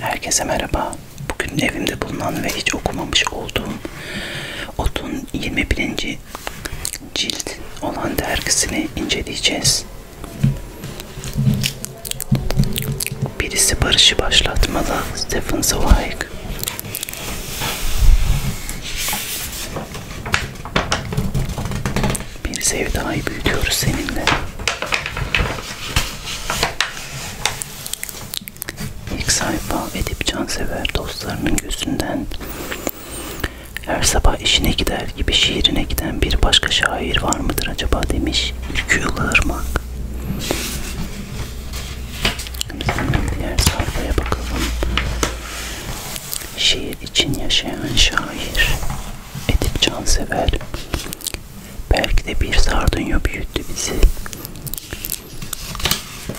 Herkese merhaba. Bugün evimde bulunan ve hiç okumamış olduğum Otun 21. cilt olan dergisini inceleyeceğiz. Birisi barışı başlatmalı. Stephen Zweig. Bir sevdayı büyütüyoruz seninle. İlk sayfa Edip Cansever dostlarının gözünden her sabah işine gider gibi şiirine giden bir başka şair var mıdır acaba demiş Ülkü Yıldırmak. Diğer sayfaya bakalım. Şiir için yaşayan şair Edip Cansever Belki de bir sardunya büyüttü bizi.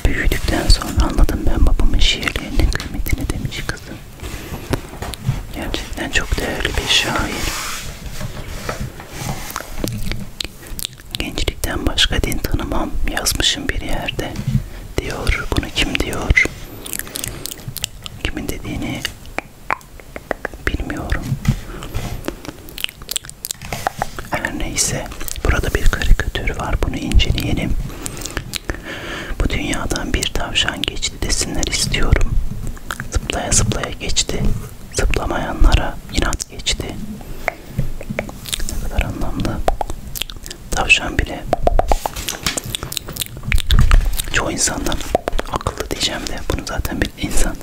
Büyüdükten sonra anladım ben babamın şiirlerinin kıymetini demiş kızım. Gerçekten çok değerli bir şair. Gençlikten başka din tanımam yazmışım bir yerde diyor. Bunu kim diyor? Kimin dediğini Bilmiyorum. Her neyse. Burada bir karikatür var. Bunu inceleyelim. Bu dünyadan bir tavşan geçti desinler istiyorum. Zıplaya zıplaya geçti. Zıplamayanlara inat geçti. Ne kadar anlamlı. Tavşan bile çoğu insandan akıllı diyeceğim de bunu zaten insan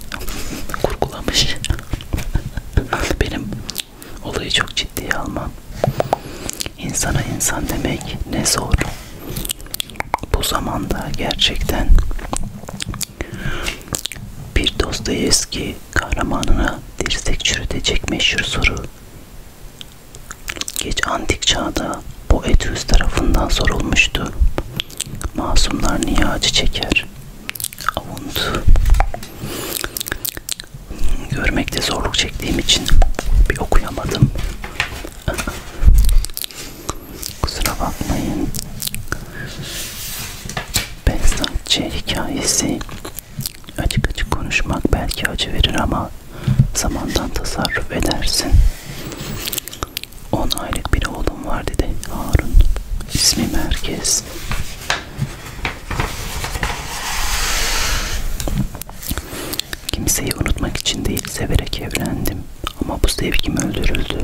kurgulamış. Benim olayı çok ciddiye almam. İnsana insan demek ne zor. Bu zamanda gerçekten bir Dostoyevski kahramanına dirsek çürütecek meşhur soru. Geç antik çağda Boethius tarafından sorulmuştu. Masumlar niye acı çeker? Avuntu. Görmekte zorluk çektiğim için bir okuyamadım. Kusura bakmayın. Besnakçı hikayesi. Açık açık konuşmak belki acı verir ama zamandan tasarruf edersin. 10 aylık bir oğlum var dedi Harun. İsmi Merkez. Kimseyi unutmak için değil severek evlendim. Ama bu sevgim öldürüldü.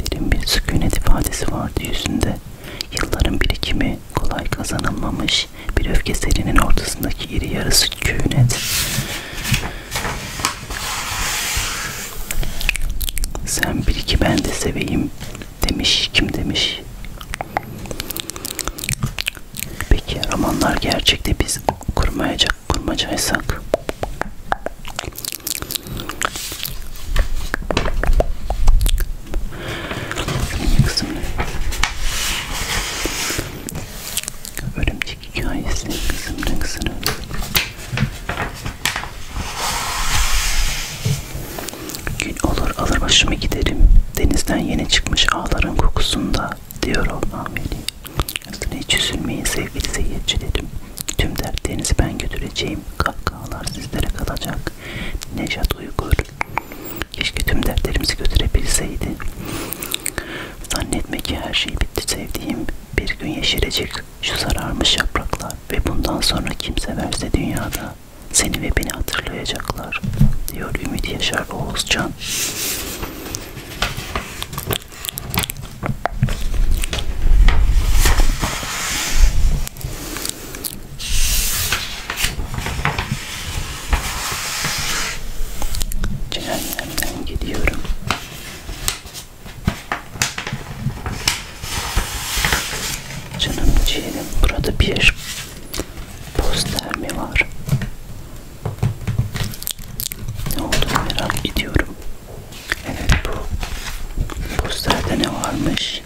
Derin bir sükunet ifadesi vardı yüzünde. Yılların birikimi kolay kazanılmamış bir öfke serinin ortasındaki iri yarısı sükunet. Sen bil ki ben de seveyim demiş kim demiş? Peki romanlar gerçekte biz kurmayacak kurmacaysak? Kızım Örümcek hikayesi kızım kızını Gün olur alır başımı giderim. Denizden yeni çıkmış ağların kokusunda diyor Allah'ım veli. Üstüne hiç üzülmeyin sevgili seyircilerim. Tüm dertlerinizi ben götüreceğim. Kahkahalar sizlere kalacak. Nejat Uygur. Keşke tüm dertlerimizi götürebilseydi. Zannetme ki her şey bitti sevdiğim. Bir gün yeşerecek şu sararmış yapraklar ve bundan sonra kim severse dünyada seni ve beni hatırlayacaklar diyor Ümit Yaşar Oğuzcan. Cehennemden gidiyorum. Canım ciğerim burada bir poster mi var? Ne olduğunu merak ediyorum. Evet bu posterde ne varmış?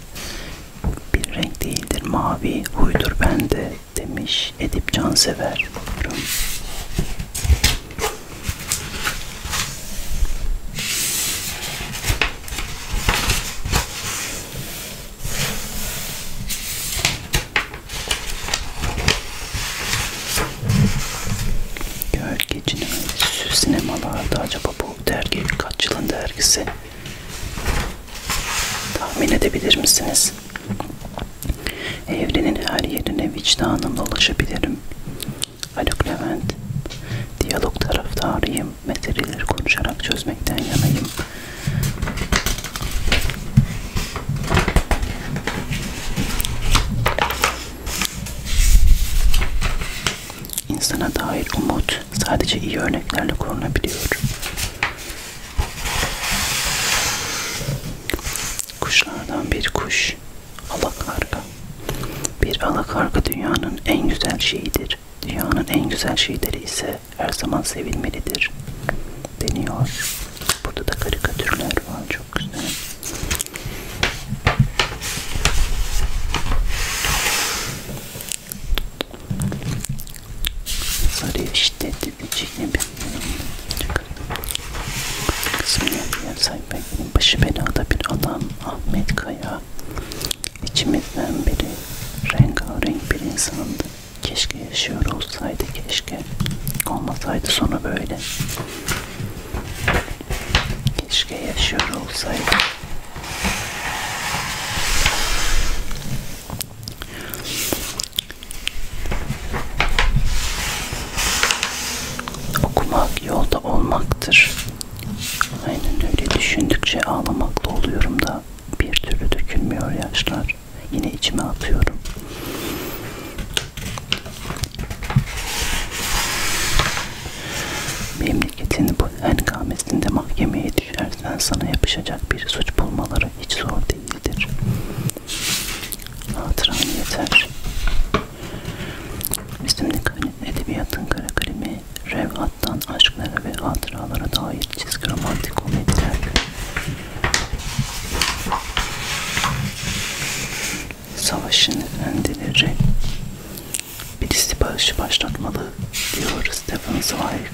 Bir renk değildir mavi huydur bende demiş Edip Cansever. Gölgecinin sinemalarda acaba bu dergi kaç yılın dergisi? Tahmin edebilir misiniz? Evrenin her yerine vicdanımla ulaşabilirim. Haluk Levent, diyalog taraftarıyım, meseleleri konuşarak çözmekten yanayım. İnsana dair umut sadece iyi örneklerle korunabiliyor. Kuşlardan bir kuş gelmiş. Alakarga. Bir alakarga dünyanın en güzel şeyidir. Dünyanın en güzel şeyleri ise her zaman sevilmelidir. Deniyor. Burada da karikatürler var. Çok güzel. Sarı işte dedici gibi. Kısmı yapıyor sayfayı başı belada bir adam Ahmet Kaya içimizden biri rengarenk bir insandı. Keşke yaşıyor olsaydı keşke. Olmasaydı sonu böyle. Keşke yaşıyor olsaydı. Okumak yolda olmaktır. Aynen öyle düşündükçe ağlamakla oluyorum da bir türlü dökülmüyor yaşlar. Yine içime atıyorum. Memleketin bu hengamesinde mahkemeye düşersen sana yapışacak bir suç bulmaları hiç zor değildir. Hatıran yeter. Resimdeki edebiyatın kara kalemi, revhattan aşklara ve hatıralara dair çizgi romantik komediler. Savaşın efendileri birisi bağışı başlatmalı diyor Stefan Zweig.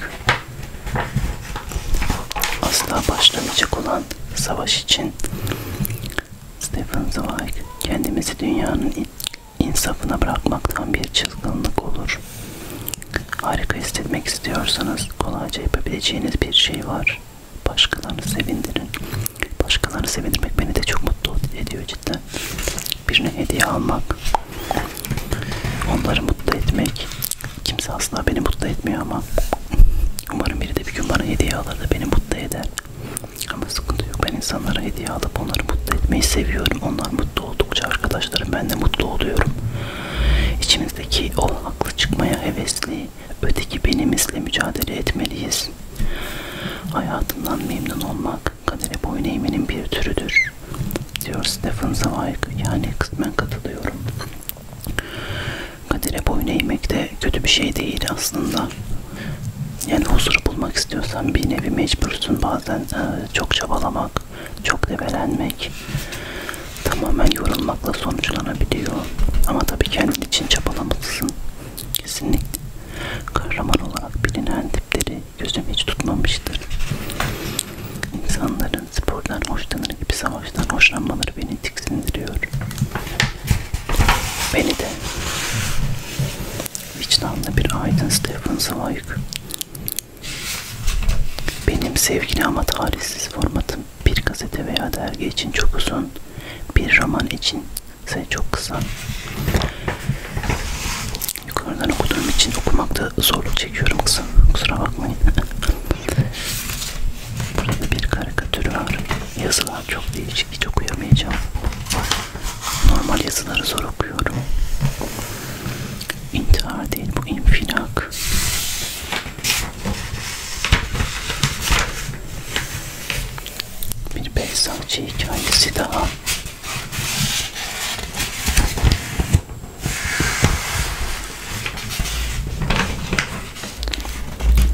Asla başlamayacak olan savaş için Stephen Zweig kendimizi dünyanın insafına bırakmaktan bir çılgınlık olur. Harika hissetmek istiyorsanız kolayca yapabileceğiniz bir şey var. Başkalarını sevindirin. Başkalarını sevindirmek beni de çok mutlu ediyor cidden. Birine hediye almak, onları mutlu etmek. Kimse asla beni mutlu etmiyor ama umarım biri de bir gün bana hediye alır da beni mutlu eder. Ama sıkıntı yok. Ben insanlara hediye alıp onları mutlu etmeyi seviyorum. Onlar mutlu oldukça arkadaşlarım ben de mutlu oluyorum. İçimizdeki o haklı çıkmaya hevesli öteki benimizle mücadele etmeliyiz. Hayatından memnun olmak kadere boyun eğmenin bir türüdür. Diyor Stephen Zweig. Yani kısmen katılıyorum. Kadere boyun eğmek de kötü bir şey değil aslında. Yani huzuru bulmak istiyorsan bir nevi mecbursun bazen e, çok çabalamak, çok debelenmek, tamamen yorulmakla sonuçlanabiliyor. Ama tabii kendin için çabalamalısın. Kesinlikle. Kahraman olarak bilinen tipleri gözüm hiç tutmamıştır. İnsanların spordan hoşlanır gibi savaştan hoşlanmaları beni tiksindiriyor. Beni de. Vicdanlı bir aydın Stephen Zweig. Benim sevgili ama tarihsiz formatım bir gazete veya dergi için çok uzun, bir roman için ise çok kısa. Yukarıdan okuduğum için okumakta zorluk çekiyorum kızım. Kusura bakmayın. Burada bir karikatür var. Yazılar çok değişik hiç, hiç okuyamayacağım. Normal yazıları zor okuyorum. İntihar değil bu infilak. Bir Beyzakçı hikayesi daha.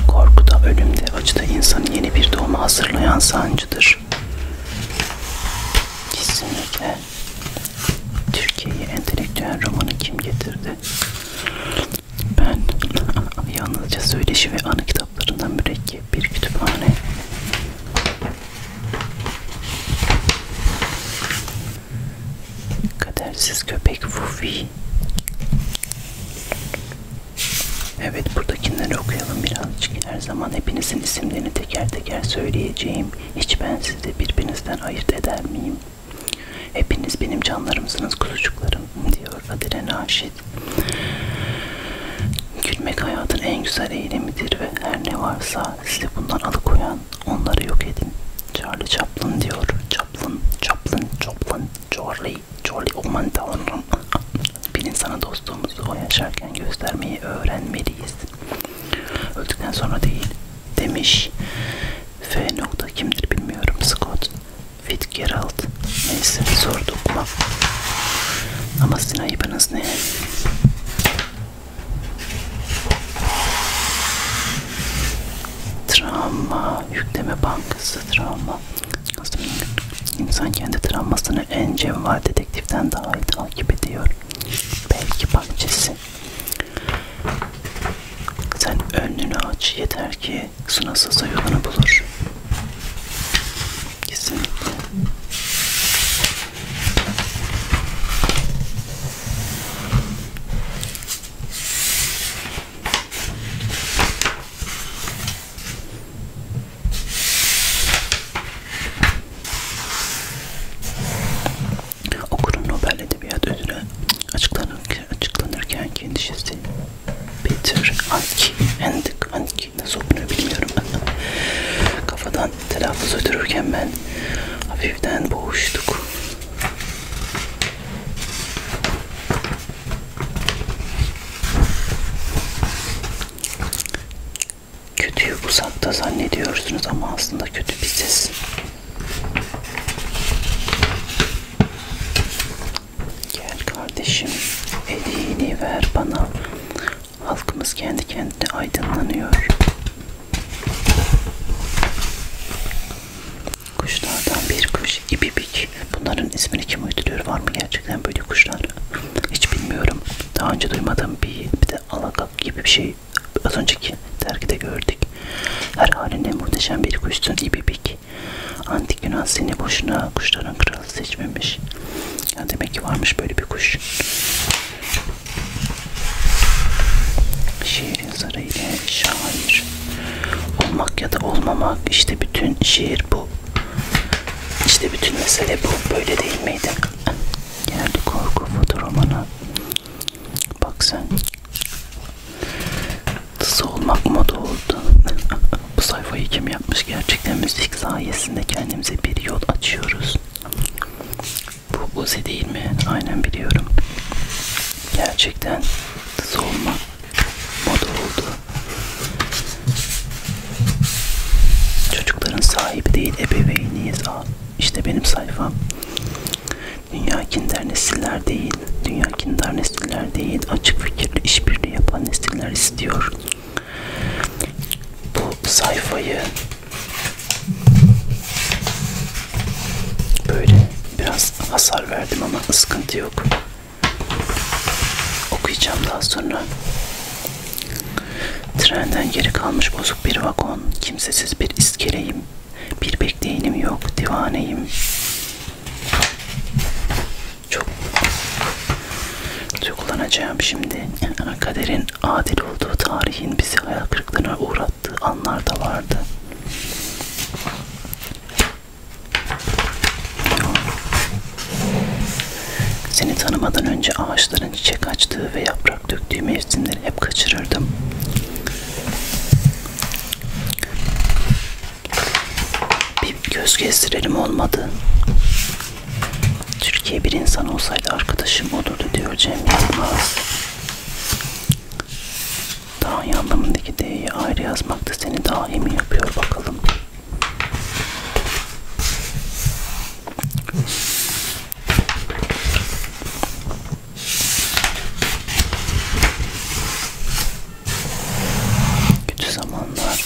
Korkuda, ölümde, acıda insanı yeni bir doğuma hazırlayan sancıdır. Kesinlikle. Türkiye'ye entelektüel romanı kim getirdi? Ben yalnızca söyleşi ve anı kitaplarından mürekkep bir kütüphane. Kadersiz köpek Fufi. Evet buradakileri okuyalım birazcık. Her zaman hepinizin isimlerini teker teker söyleyeceğim. Hiç ben sizi birbirinizden ayırt eder miyim? Hepiniz benim canlarımsınız kuzucuklarım diyor Adile Naşit. Gülmek hayatın en güzel eylemidir ve her ne varsa sizi bundan alıkoyan onları yok edin. Charlie Chaplin diyor. Chaplin, Chaplin, Chaplin, Charlie Jolly aman tanrım. Bir insana dostluğumuzu o yaşarken göstermeyi öğrenmeliyiz. Öldükten sonra değil demiş. F nokta kimdir bilmiyorum. Scott Fitzgerald. Neyse sorduk mu? Ama sizin ayıbınız ne? Travma Yükleme Bankası Travma İnsan kendi travmasını en cevval dedektiften daha iyi takip ediyor. Belki bahçesi. Sen önünü aç yeter ki sınırsıza yolunu bulur. Kesinlikle. Okurun Nobel Edebiyat Ödülü açıklanırken, açıklanırken kendisi Peter Anki, Endik Anki nasıl okunuyor bilmiyorum. Kafadan telaffuz ötürürken ben hafiften boğuştuk. Kötüyü uzakta zannediyorsunuz ama aslında kötü biziz. Gel kardeşim, elini ver bana. Halkımız kendi kendine aydınlanıyor. Kuşlardan bir kuş ibibik. Hiç bunların ismini kim uyduruyor var mı gerçekten böyle kuşlar? Hiç bilmiyorum. Daha önce duymadığım bir, bir de alakap gibi bir şey az önceki dergide gördük. Her halinde muhteşem bir kuşsun ibibik. Antik Yunan seni boşuna kuşların kralı seçmemiş. Ya demek ki varmış böyle bir kuş. Şiirin sarayı ile şair olmak ya da olmamak işte bütün şiir bu işte bütün mesele bu. Böyle değil miydi? Geldi korku fotoromana. Bak sen. Tısı olmak moda oldu. bu sayfayı kim yapmış? Gerçekten müzik sayesinde kendimize bir yol açıyoruz. Bu Uzi değil mi? Aynen biliyorum. Gerçekten tısı olmak moda oldu. Çocukların sahibi değil ebeveyniyiz. İşte benim sayfam. Dünya kindar nesiller değil. Dünya kindar nesiller değil. Açık fikirli işbirliği yapan nesiller istiyor. Bu sayfayı böyle biraz hasar verdim ama sıkıntı yok. Okuyacağım daha sonra. Trenden geri kalmış bozuk bir vagon, kimsesiz bir iskeleyim. Bir bekleyenim yok, divaneyim. Çok duygulanacağım şimdi. Kaderin adil olduğu tarihin bizi hayal kırıklığına uğrattığı anlar da vardı. Seni tanımadan önce ağaçların çiçek açtığı ve yaprak döktüğü mevsimleri hep kaçırırdım. Bir göz gezdirelim olmadı. Türkiye bir insan olsaydı arkadaşım olurdu diyor Cem Yılmaz. Dahi anlamındaki D'yi ayrı yazmak da seni dahi mi yapıyor bakalım. Kötü zamanlar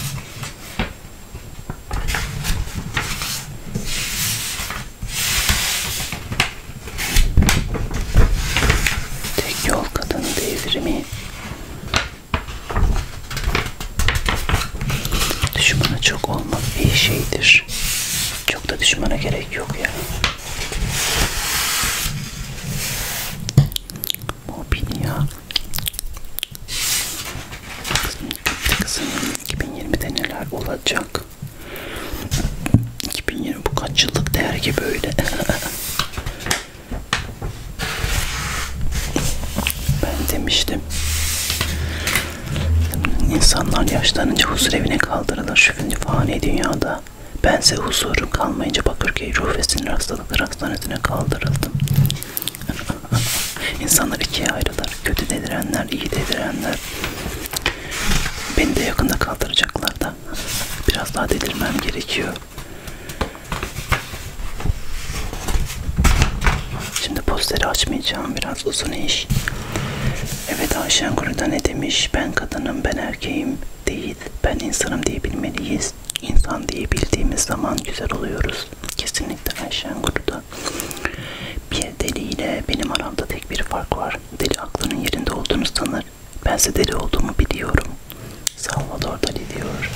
Tek yol kadın devrimi Düşmana çok olmak iyi şeydir. Çok da düşmana gerek yok ya. Mobil ya. Kızım, kızım 2020'de neler olacak? 2020 bu kaç yıllık dergi böyle? Ben demiştim. İnsanlar yaşlanınca huzur evine kaldırılır şu fani dünyada. Bense huzurum kalmayınca Bakırköy Ruh ve Sinir Hastalıkları Hastanesi'ne kaldırıldım. İnsanlar ikiye ayrılır. Kötü dedirenler, iyi dedirenler. Beni de yakında kaldıracaklar da. Biraz daha delirmem gerekiyor. Şimdi posteri açmayacağım. Biraz uzun iş. Evet Ayşen Kuru'da ne demiş? Ben kadınım, ben erkeğim değil. Ben insanım diyebilmeliyiz. İnsan diyebildiğimiz zaman güzel oluyoruz. Kesinlikle Ayşen Kuru'da. Bir deli ile benim aramda tek bir fark var. Deli aklının yerinde olduğunu sanır. Bense deli olduğumu biliyorum. Salvador Dali diyor.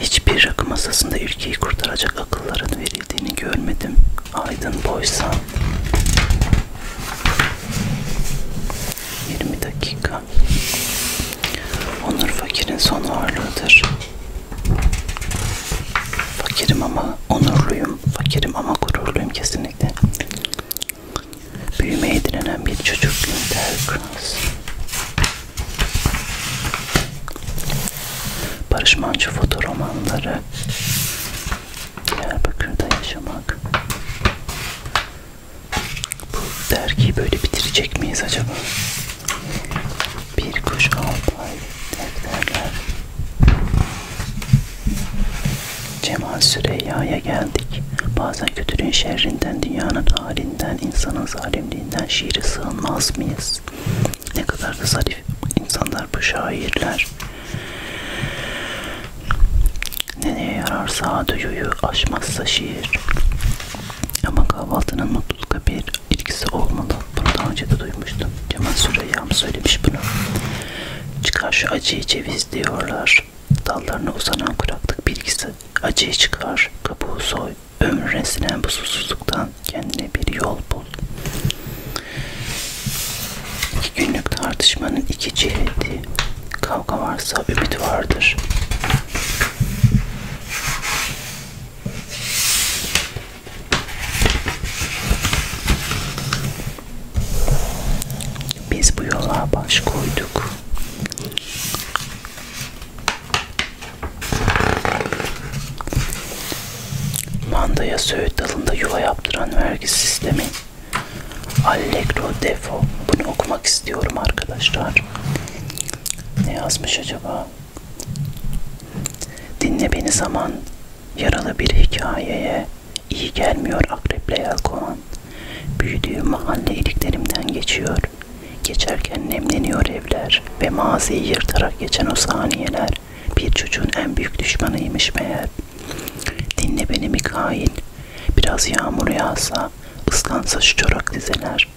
Hiçbir rakı masasında ülkeyi kurtaracak akılların verildiğini görmedim. Aydın boysa 20 dakika. Onur fakirin son ağırlığıdır. Fakirim ama onurluyum. Fakirim ama gururluyum kesinlikle büyümeye direnen bir çocuk Günter Kranz. Barış Manço fotoromanları Diyarbakır'da yaşamak bu dergiyi böyle bitirecek miyiz acaba? Bir kuş altı ay defterler Cemal Süreyya'ya geldik demek. Bazen kötülüğün şerrinden, dünyanın halinden, insanın zalimliğinden şiire sığınmaz mıyız? Ne kadar da zarif insanlar bu şairler. Nereye yararsa duyuyu aşmazsa şiir. Ama kahvaltının mutlulukla bir ilgisi olmalı. Bunu daha önce de duymuştum. Cemal Süreyya'm söylemiş bunu. Çıkar şu acıyı ceviz diyorlar çıkar. Dallarına uzanan kuraklık bilgisi acıyı çıkar. Kabuğu soy. Ömre sinen bu susuzluktan kendine bir yol bul. İki günlük tartışmanın iki ciheti. Kavga varsa ümit vardır. Biz bu yola baş koyduk. Mandaya söğüt dalında yuva yaptıran vergi sistemi Allegro Defo. Bunu okumak istiyorum arkadaşlar. Ne yazmış acaba? Dinle beni zaman. Yaralı bir hikayeye iyi gelmiyor akreple yelkovan zaman büyüdüğüm mahalle iliklerimden geçiyor. Geçerken nemleniyor evler ve maziyi yırtarak geçen o saniyeler bir çocuğun en büyük düşmanıymış meğer. Dinle beni Mikail, biraz yağmur yağsa, ıslansa şu çorak dizeler.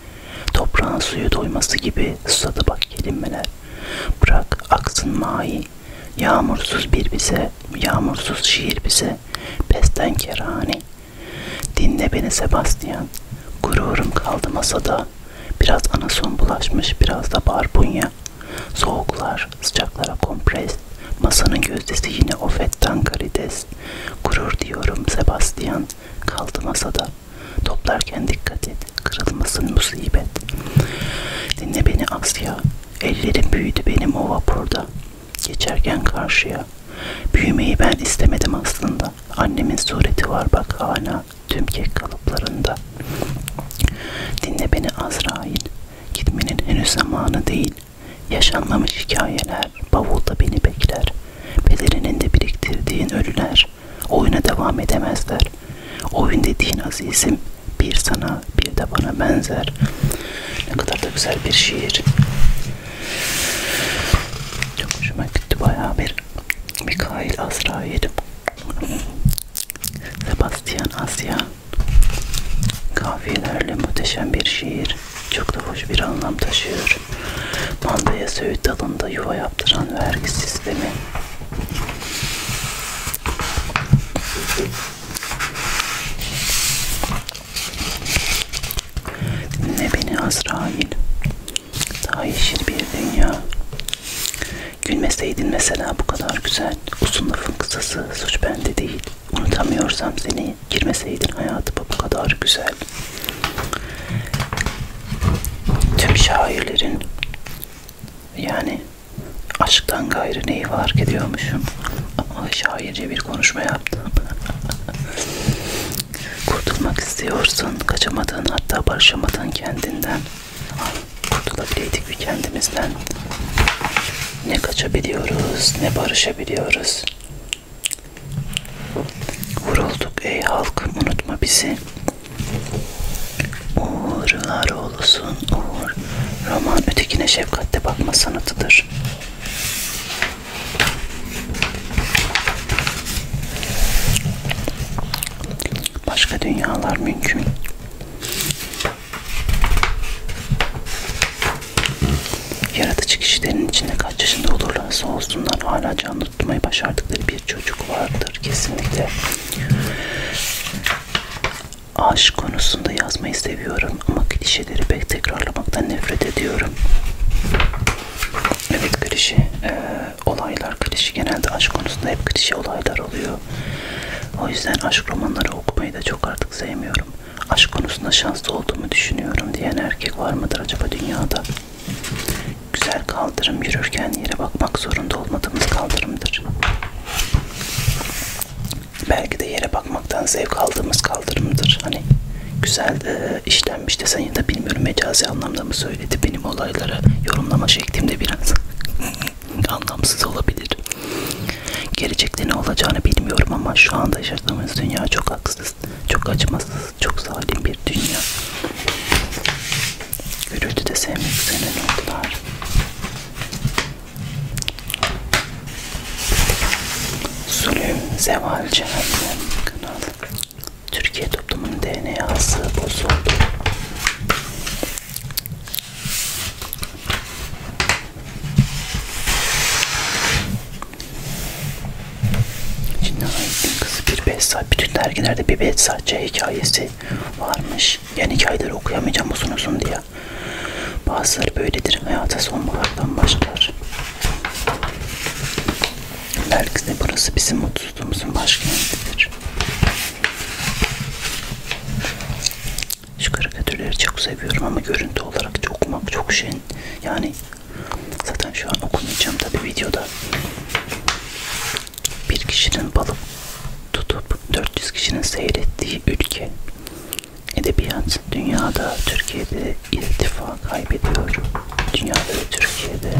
Toprağın suyu doyması gibi susadı bak kelimeler. Bırak aksın mahi, yağmursuz bir bize, yağmursuz şiir bize, pesten kerani.'' Dinle beni Sebastian. Gururum kaldı masada. Biraz anason bulaşmış, biraz da barbunya. Soğuklar, sıcaklara kompres. Masanın gözdesi yine ofetten karides. Gurur diyorum Sebastian. Kaldı masada. Toplarken dikkat et. Kırılmasın musibet. Dinle beni Asya. Ellerim büyüdü benim o vapurda. Geçerken karşıya. Büyümeyi ben istemedim aslında. Annemin sureti var bak hala tüm kek kalıplarında. Dinle beni Azrail. Gitmenin henüz zamanı değil. Yaşanmamış hikayeler bavulda beni bekler. Pederinin de biriktirdiğin ölüler. Oyuna devam edemezler. Oyun dediğin azizim bir sana bir de bana benzer. Ne kadar da güzel bir şiir. Çok hoşuma gitti bayağı bir Mikail Azrail Sebastian Asya Kafiyelerle muhteşem bir şiir Çok da hoş bir anlam taşıyor Mandaya söğüt dalında yuva yaptıran vergi sistemi Dinle beni Azrail. Daha yeşil bir dünya. Gülmeseydin mesela bu kadar güzel. Uzun lafın kısası suç bende değil. Unutamıyorsam seni girmeseydin hayatıma bu kadar güzel. Tüm şairlerin yani aşktan gayrı neyi fark ediyormuşum. Ama şairce bir konuşma yaptım. Kurtulmak istiyorsun, kaçamadın hatta barışamadın kendinden. Kurtulabildik bir kendimizden. Ne kaçabiliyoruz, ne barışabiliyoruz. Vurulduk ey halk, unutma bizi. Uğurlar oğlusun, uğur. Roman ötekine şefkatle bakma sanatıdır. Başka dünyalar mümkün. Yaratıcı kişilerin içinde kaç yaşında olurlarsa olsunlar hala canlı tutmayı başardıkları bir çocuk vardır kesinlikle. Aşk konusunda yazmayı seviyorum ama klişeleri pek tekrarlamaktan nefret ediyorum. Evet klişe e, olaylar klişe genelde aşk konusunda hep klişe olaylar oluyor. O yüzden aşk romanları okumayı da çok artık sevmiyorum. Aşk konusunda şanslı olduğumu düşünüyorum diyen erkek var mıdır acaba dünyada? Güzel kaldırım yürürken yere bakmak zorunda olmadığımız kaldırımdır. Belki de yere bakmaktan zevk aldığımız kaldırımdır. Hani güzel e, işlenmiş desen ya da bilmiyorum mecazi anlamda mı söyledi benim olaylara yorumlama şeklimde biraz anlamsız olabilir. Gelecekte ne olacağını bilmiyorum ama şu anda yaşadığımız dünya çok haksız, çok acımasız, çok zalim bir dünya. Gürültü de sevmek üzere oldular. Zulüm, zeval, cehennem kanal. Türkiye toplumunun DNA'sı bozuldu. Cinayet'in kızı bir Behzat. Bütün dergilerde bir Behzatçı hikayesi varmış. Yani hikayeleri okuyamayacağım uzun uzun diye. Bazıları böyledir. Hayata sonbahardan başlar. Belki de burası bizim mutsuzluğumuzun başkentidir. Şu karikatürleri çok seviyorum ama görüntü olarak çok okumak çok şey. Yani zaten şu an okumayacağım tabi videoda. Bir kişinin balık tutup 400 kişinin seyrettiği ülke edebiyat Dünyada, Türkiye'de irtifa kaybediyor. Dünyada ve Türkiye'de.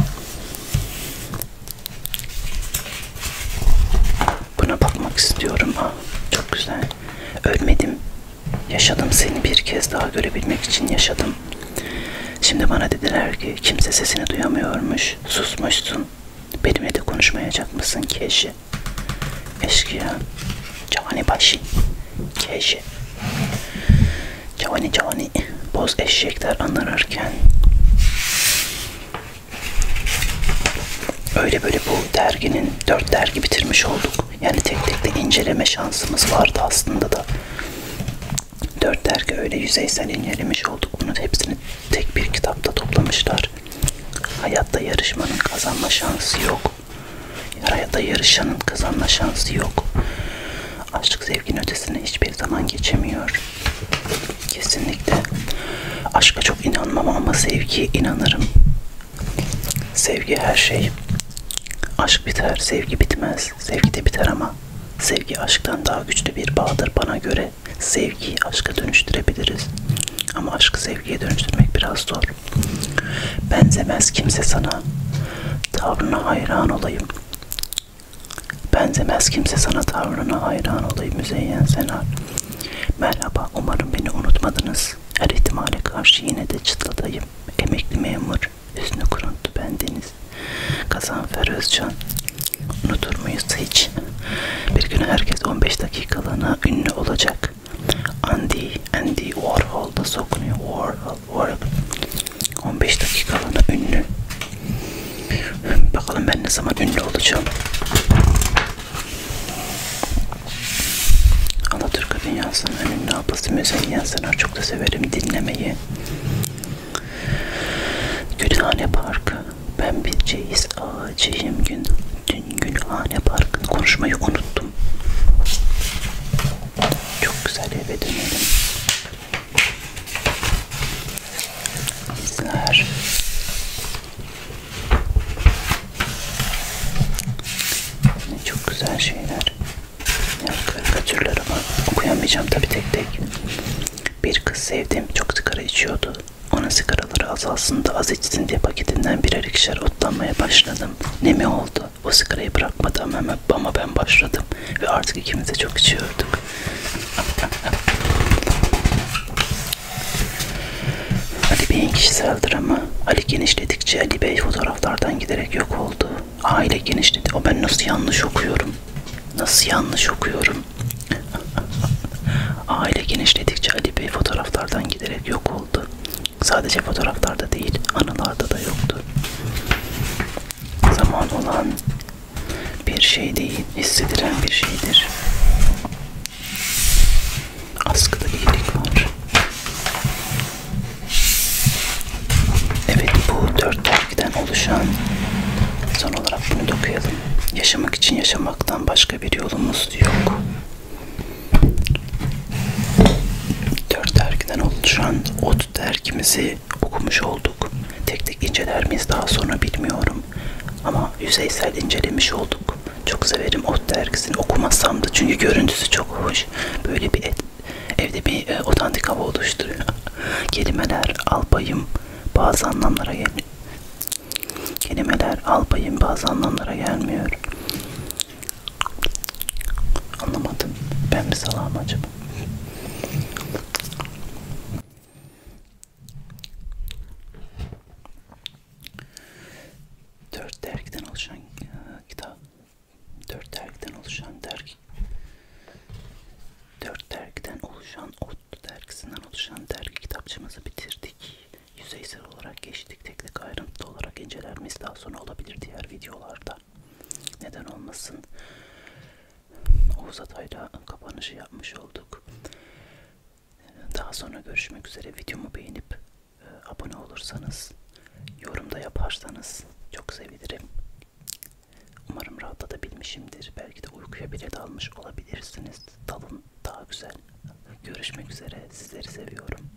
Buna bakmak istiyorum. Ha, ah, çok güzel. Ölmedim. Yaşadım seni bir kez daha görebilmek için yaşadım. Şimdi bana dediler ki kimse sesini duyamıyormuş. Susmuşsun. Benimle de konuşmayacak mısın ki eşi? Eşkıya. Cani başı. Keşi. Cavani cavani boz eşekler anlarken Öyle böyle bu derginin dört dergi bitirmiş olduk. Yani tek tek de inceleme şansımız vardı aslında da. Dört dergi öyle yüzeysel incelemiş olduk. Bunun hepsini tek bir kitapta toplamışlar. Hayatta yarışmanın kazanma şansı yok. Yarayada yarışanın kazanma şansı yok. Aşk zevkin ötesine hiçbir zaman geçemiyor. Kesinlikle. Aşka çok inanmam ama sevgiye inanırım. Sevgi her şey. Aşk biter, sevgi bitmez. Sevgi de biter ama sevgi aşktan daha güçlü bir bağdır bana göre. Sevgiyi aşka dönüştürebiliriz. Ama aşkı sevgiye dönüştürmek biraz zor. Benzemez kimse sana, tavrına hayran olayım. Benzemez kimse sana, tavrına hayran olayım Müzeyyen Senar. Merhaba, umarım beni unutmadınız. Her ihtimale karşı yine de çıtladayım. Emekli memur, üstünü kuruntu bendeniz. Gazanfer Özcan, unutur muyuz hiç? Bir gün herkes 15 dakikalığına ünlü olacak. Andy, Andy Warhol'da sokunuyor. Warhol bu arada 15 dakikalığına ünlü bakalım ben ne zaman ünlü olacağım Alaturka dünyasının ünlü ablası Müzeyyen Senar çok da severim dinlemeyi Gülhane Parkı ben bir ceyiz ağacıyım gün dün Gülhane Parkı'nı konuşmayı unuttum çok güzel eve dönelim. İzler. Ne çok güzel şeyler. Karikatürler ama okuyamayacağım tabi tek tek. Bir kız sevdiğim çok sigara içiyordu. Ona sigaraları azalsın da az içsin diye paketinden birer ikişer otlanmaya başladım. Ne mi oldu? o sigarayı bırakmadı ama, ama ben başladım ve artık ikimiz de çok içiyorduk. Ali Bey'in kişisel dramı, Ali genişledikçe Ali Bey fotoğraflardan giderek yok oldu. Aile genişledi. O ben nasıl yanlış okuyorum? Nasıl yanlış okuyorum? Aile genişledikçe Ali Bey fotoğraflardan giderek yok oldu oldu. Sadece fotoğraflarda değil, anılarda da yoktu. Zaman olan bir şey değil, hissedilen bir şeydir. Askıda iyilik var. Evet, bu dört dergiden oluşan son olarak bunu dokuyalım. Yaşamak için yaşamaktan başka bir yolumuz yok. Dört dergiden oluşan ot dergimizi okumuş olduk. Tek tek inceler miyiz daha sonra bilmiyorum. Ama yüzeysel incelemiş olduk. Çok severim ot dergisini okumasam da çünkü görüntüsü çok hoş. Böyle bir et, evde bir e, otantik hava oluşturuyor. Kelimeler albayım bazı anlamlara geliyor. Kelimeler albayım bazı anlamlara gelmiyor. Anlamadım. Ben mi salağım acaba? Dört dergiden oluşan e, kitap. Dört dergiden oluşan dergi. Dört dergiden oluşan ot dergisinden oluşan dergi kitapçımızı bitirdik. Yüzeysel olarak geçtik. Tek tek ayrıntılı olarak incelenmesi daha sonra olabilir diğer videolarda. Neden olmasın? Oğuz Atay'la kapanışı yapmış olduk. Daha sonra görüşmek üzere. Videomu beğenip e, abone olursanız, yorumda yaparsanız çok sevinirim. Umarım rahatlatabilmişimdir. Belki de uykuya bile dalmış olabilirsiniz. Dalın daha güzel. Görüşmek üzere. Sizleri seviyorum.